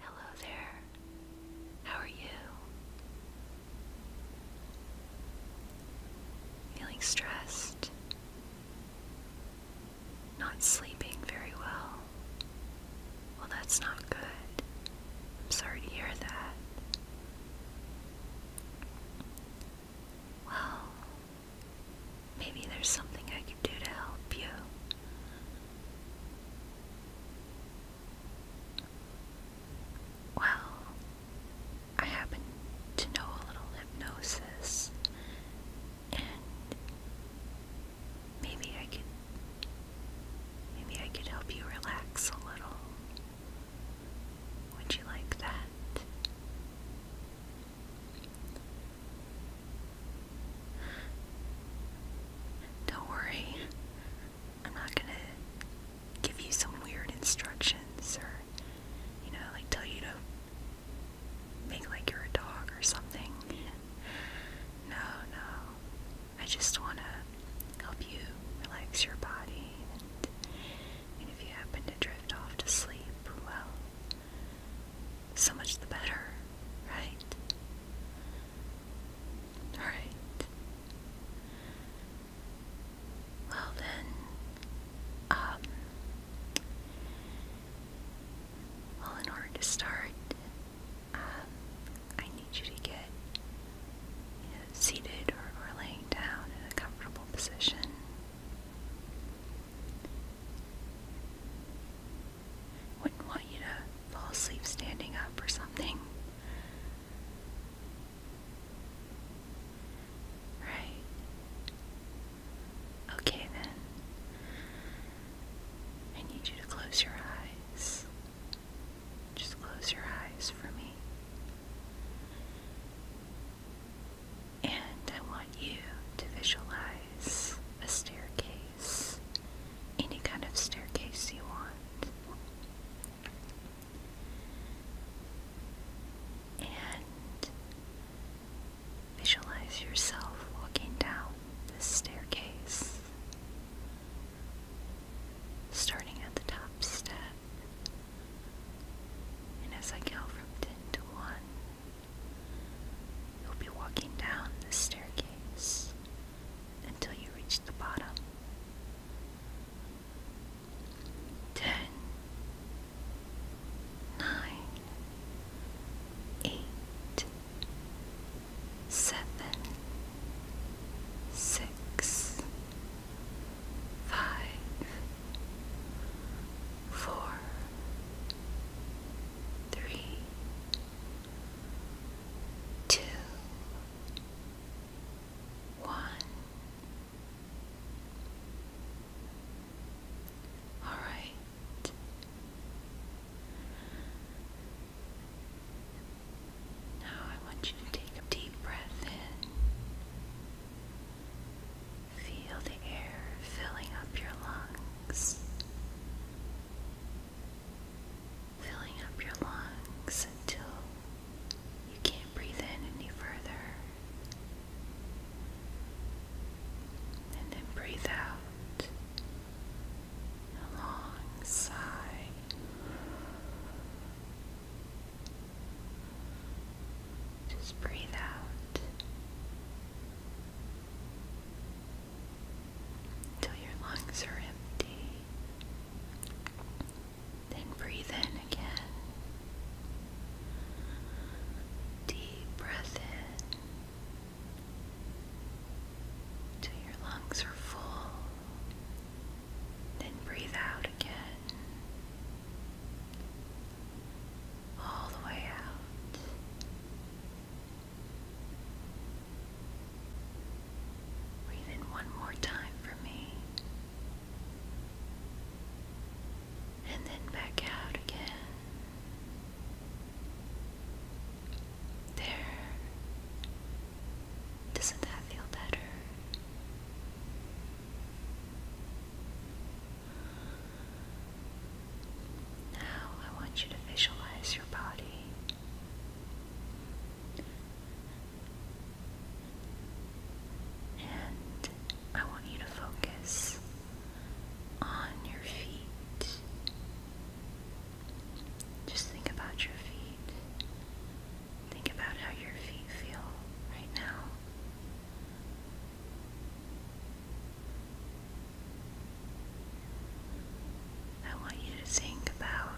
Hello there. How are you? Feeling stressed? Not sleeping very well? Well, that's not good. I'm sorry to hear that. Well, Maybe there's something I can do to help you. Well, I happen to know a little hypnosis, and maybe I could maybe I could help you relax a little. Would you like that? Don't worry, I'm not gonna give you some weird instructions or, you know, like tell you to make like you're a dog or something. No, no. I just want to help you relax your body, and, and if you happen to drift off to sleep, well, so much the better, right? Alright. Well then, um, well, in order to start, um, I need you to get you know, seated or, or laying down in a comfortable position. Wouldn't want you to fall asleep standing up or something. Right. Okay then. I need you to close your eyes. Just close your eyes for me. And I want you to visualize a staircase, any kind of staircase you want. And visualize yourself walking down this staircase, starting at the top step. And as I count from 10 to 1, You'll be walking down the staircase until you reach the bottom. Ten, nine, eight, seven, six, five, four, three, two, one. All right. Now I want you to take a deep breath in Feel the air filling up your lungs. Filling up your lungs until you can't breathe in any further. And then breathe out long sigh. Just breathe out until your lungs are empty. Then breathe in again. Deep breath in until your lungs are full. Then breathe out again all the way out. Breathe one more time for me. And then back out again. There. Doesn't that feel better? Now I want you to visualize your body. And I want you to focus on your feet. Just think about your feet. Think about how your feet feel right now. I want you to think about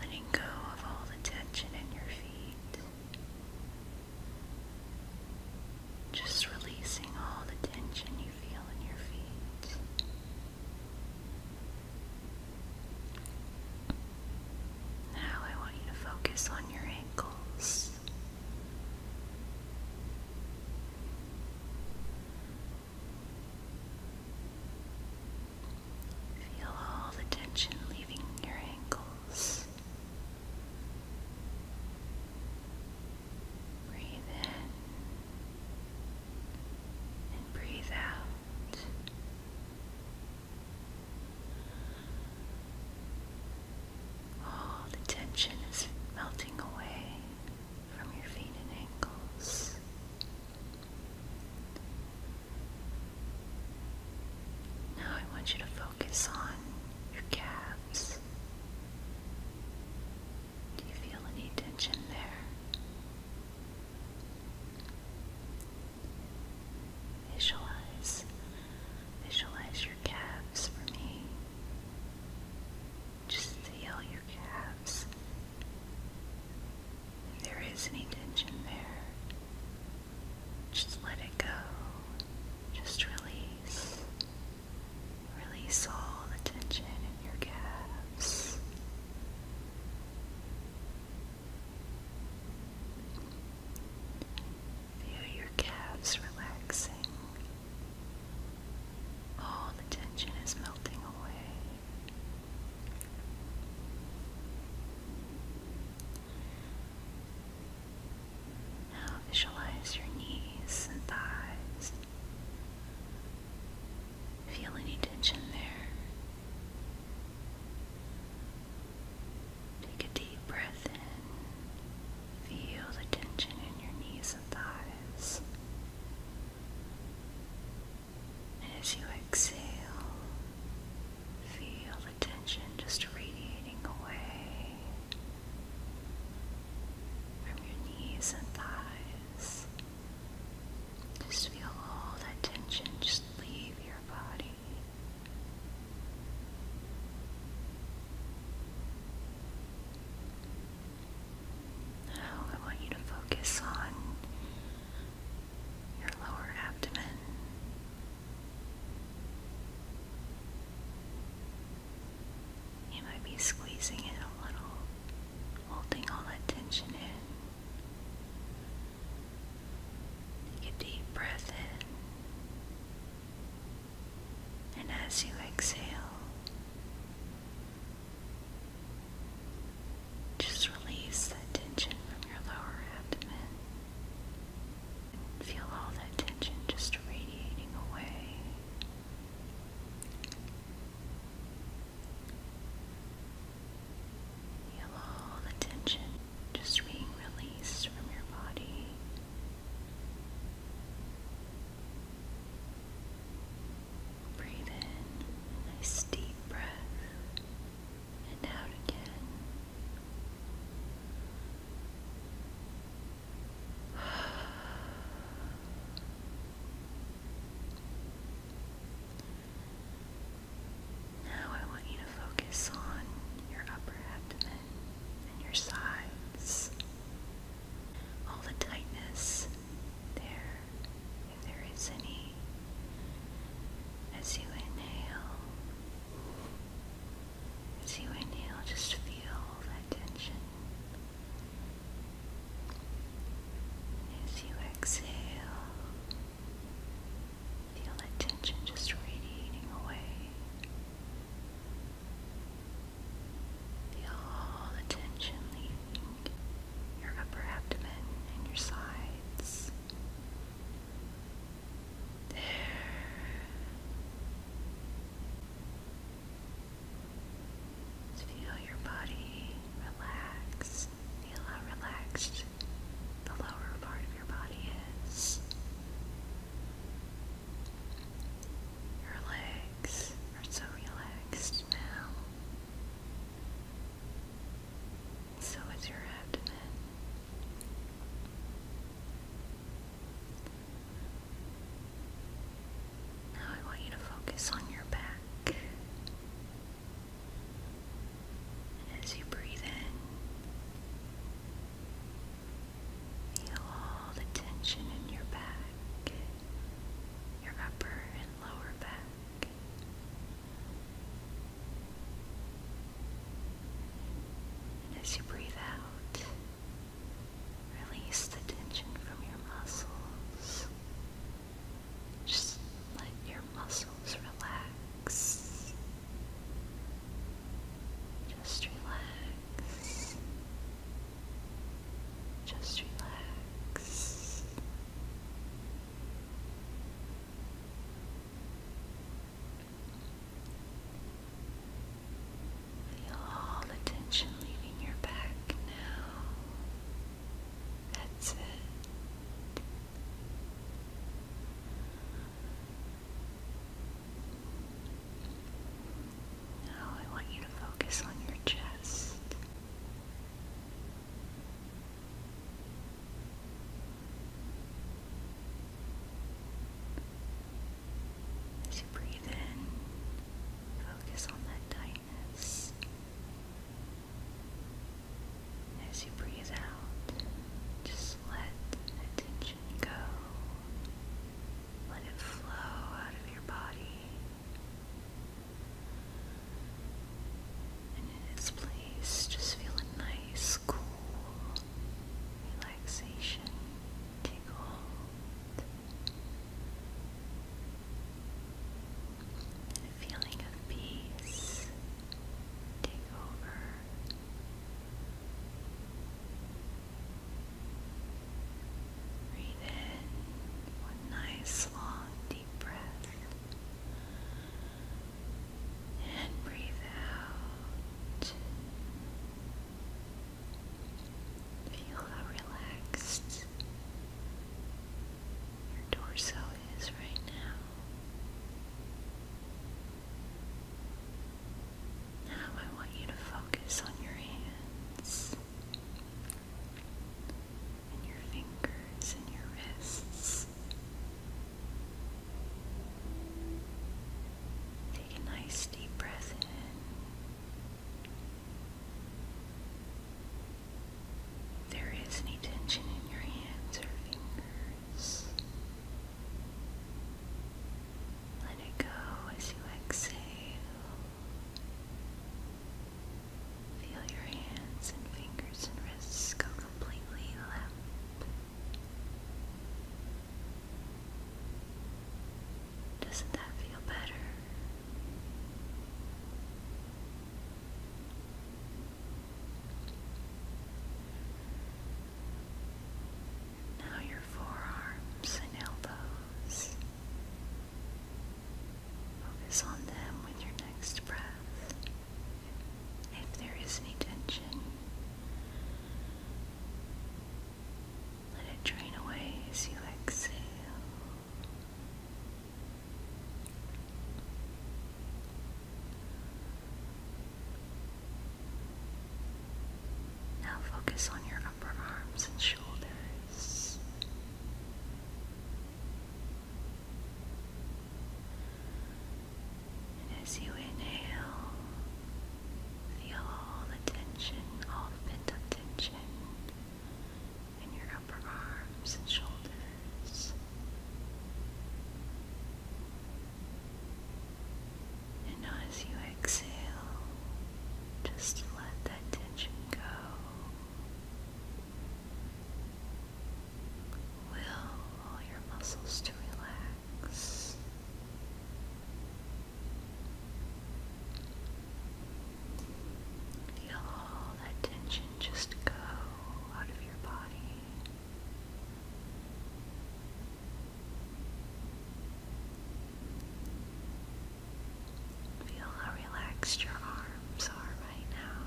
letting go of all the tension in your feet. Just releasing all the tension you feel in your feet. Now I want you to focus on your ankles. Feel all the tension leaving your ankles. Breathe in and breathe out. All the tension is melting away from your feet and ankles. Now I want you to focus on your calves. Do you feel any tension there? Visualize, visualize your calves for me. Just feel your calves. If there is any tension there, just let it go. Just release. Release all the tension in your calves. Feel your calves relaxing. All the tension is melting away. Now visualize your knees and thighs. Feel any tension there. Take a deep breath in. Feel the tension in your knees and thighs. And as you exhale, feel the tension just radiating away from your knees and thighs just feel all that tension just leave your body. Now I want you to focus on your lower abdomen. You might be squeezing it a little, holding all that tension in. Take a deep breath in, and as you exhale, just release that tension from your lower abdomen. And feel all that tension just radiating away. Feel the tension just being released from your body. Breathe in a nice deep breath and out again. Now I want you to focus on your upper abdomen and your sides. All the tightness there, if there is any, as you inhale. As you inhale, just feel all that tension. As you exhale, feel that tension just radiating away. Feel all the tension leaving your upper abdomen and your sides. There. Feel your body relaxed how relaxed the lower part of your body is. Your legs are so relaxed now. So is your abdomen. Now I want you to focus on your back. As you breathe in, feel all the tension in your back, your upper and lower back. And as you breathe out, release the tension from your muscles just let your muscles relax. Just relax. Just relax. Feel all the tension leaving your back now. That's it. Now I want you to focus on your chest. As you breathe in, focus on that diaphragm as you breathe out. Just let tension go. Let it flow out of your body in its place just feel a nice cool relaxation take a feeling of peace take over. Breathe in one nice long deep breath. And breathe out. Feel how relaxed your torso is right now. Now I want you to focus on your hands and your fingers and your wrists. Take a nice deep breath in there is any tension in your hands or fingers, let it go as you exhale. Feel your hands and fingers and wrists completely limp. Doesn't that feel better? Now your forearms and elbows. Focus on them with your next breath. If there is any tension, let it drain away as you exhale. Now focus on your upper arms and shoulders. And as you inhale, feel all the tension, all the pent tension in your upper arms and shoulders. And as you exhale, just let that tension go. Will all your muscles to relax. Feel all that tension just go out of your body. Feel how relaxed your arms are right now.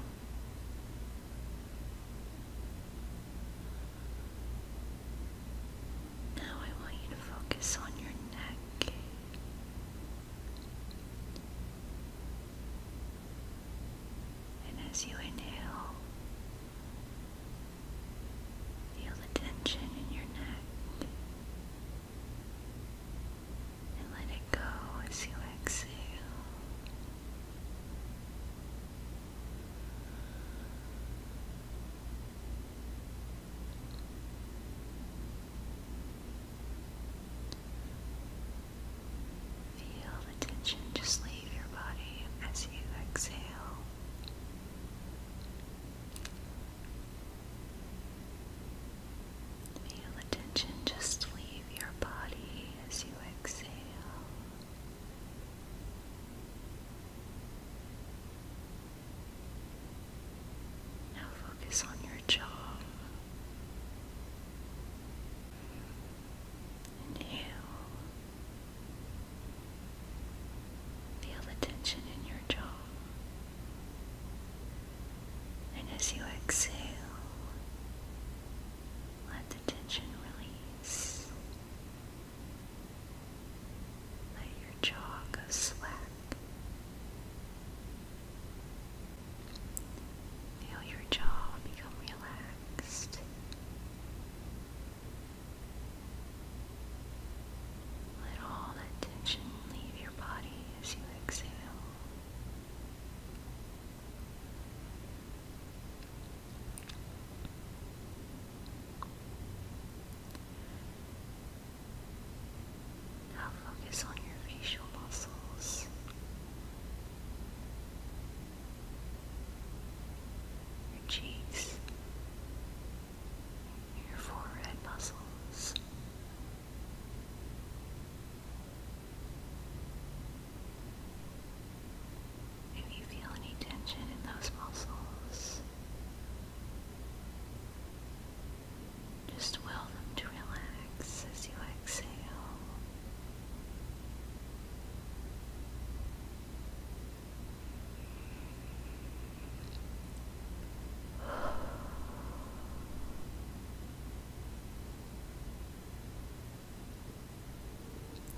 Now I want you to focus on your neck. And as you inhale, feel the tension in your neck. And let it go as you exhale. Feel the tension just leave your body as you exhale. Feel the tension just leave your body as you exhale. Now focus on your jaw. Inhale. Feel the tension in your jaw. And as you exhale, let the tension release. Let your jaw go slack. Feel your jaw become relaxed. Let all that tension leave your body as you exhale. Now focus on your facial muscles. Your cheeks, your forehead muscles, if you feel any tension in those muscles, just will them to relax as you exhale.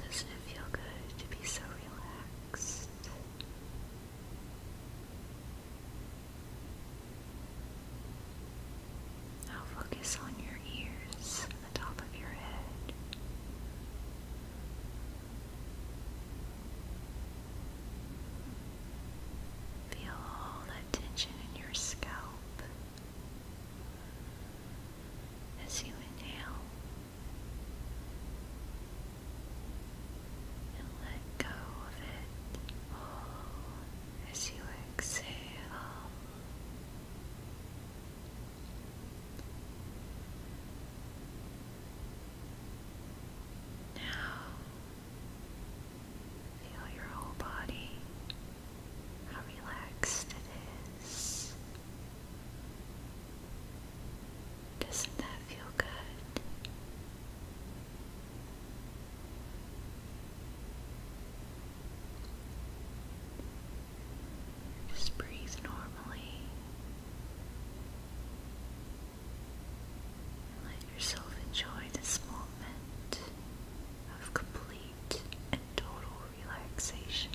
does it feel good to be so relaxed? Now focus on your ears and the top of your head. Feel all that tension in your scalp as you inhale and let go of it as you exhale. Now, feel your whole body, how relaxed it is. Doesn't that feel good? Just breathe normally and let yourself enjoy this moment of complete and total relaxation.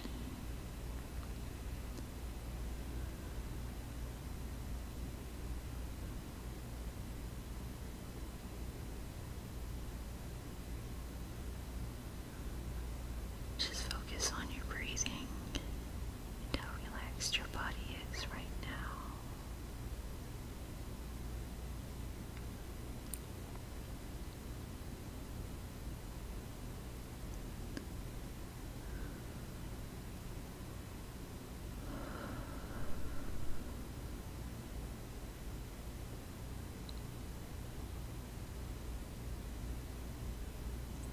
Just focus on your breathing and how relaxed your body is right now.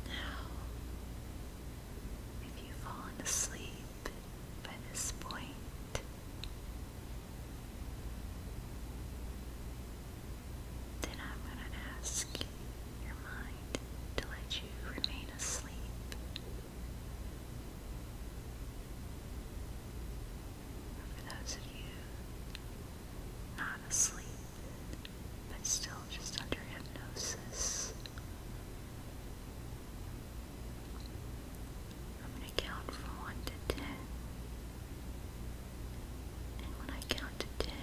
Now, if you fallen asleep by this point, then I'm going to ask your mind to let you remain asleep. For those of you not asleep, but still just under hypnosis, I'm going to count from 1 to 10. And when I count to 10,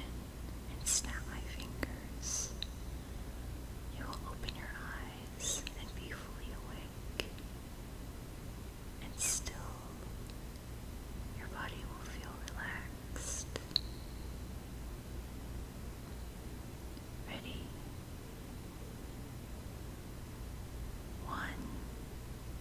and snap my fingers. You will open your eyes and be fully awake. And still, your body will feel relaxed. Ready? One,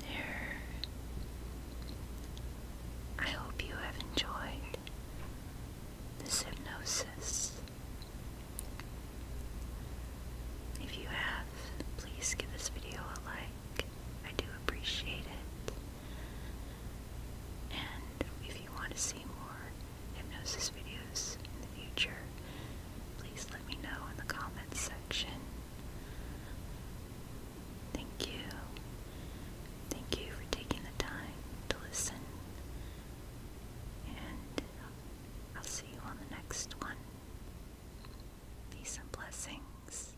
There. I hope you have enjoyed this hypnosis. If you have, please give this video a like. I do appreciate it. And if you want to see more hypnosis videos in the future, please let me know in the comments section. Thank you. Thank you for taking the time to listen. And I'll see you on the next one. Peace and blessings.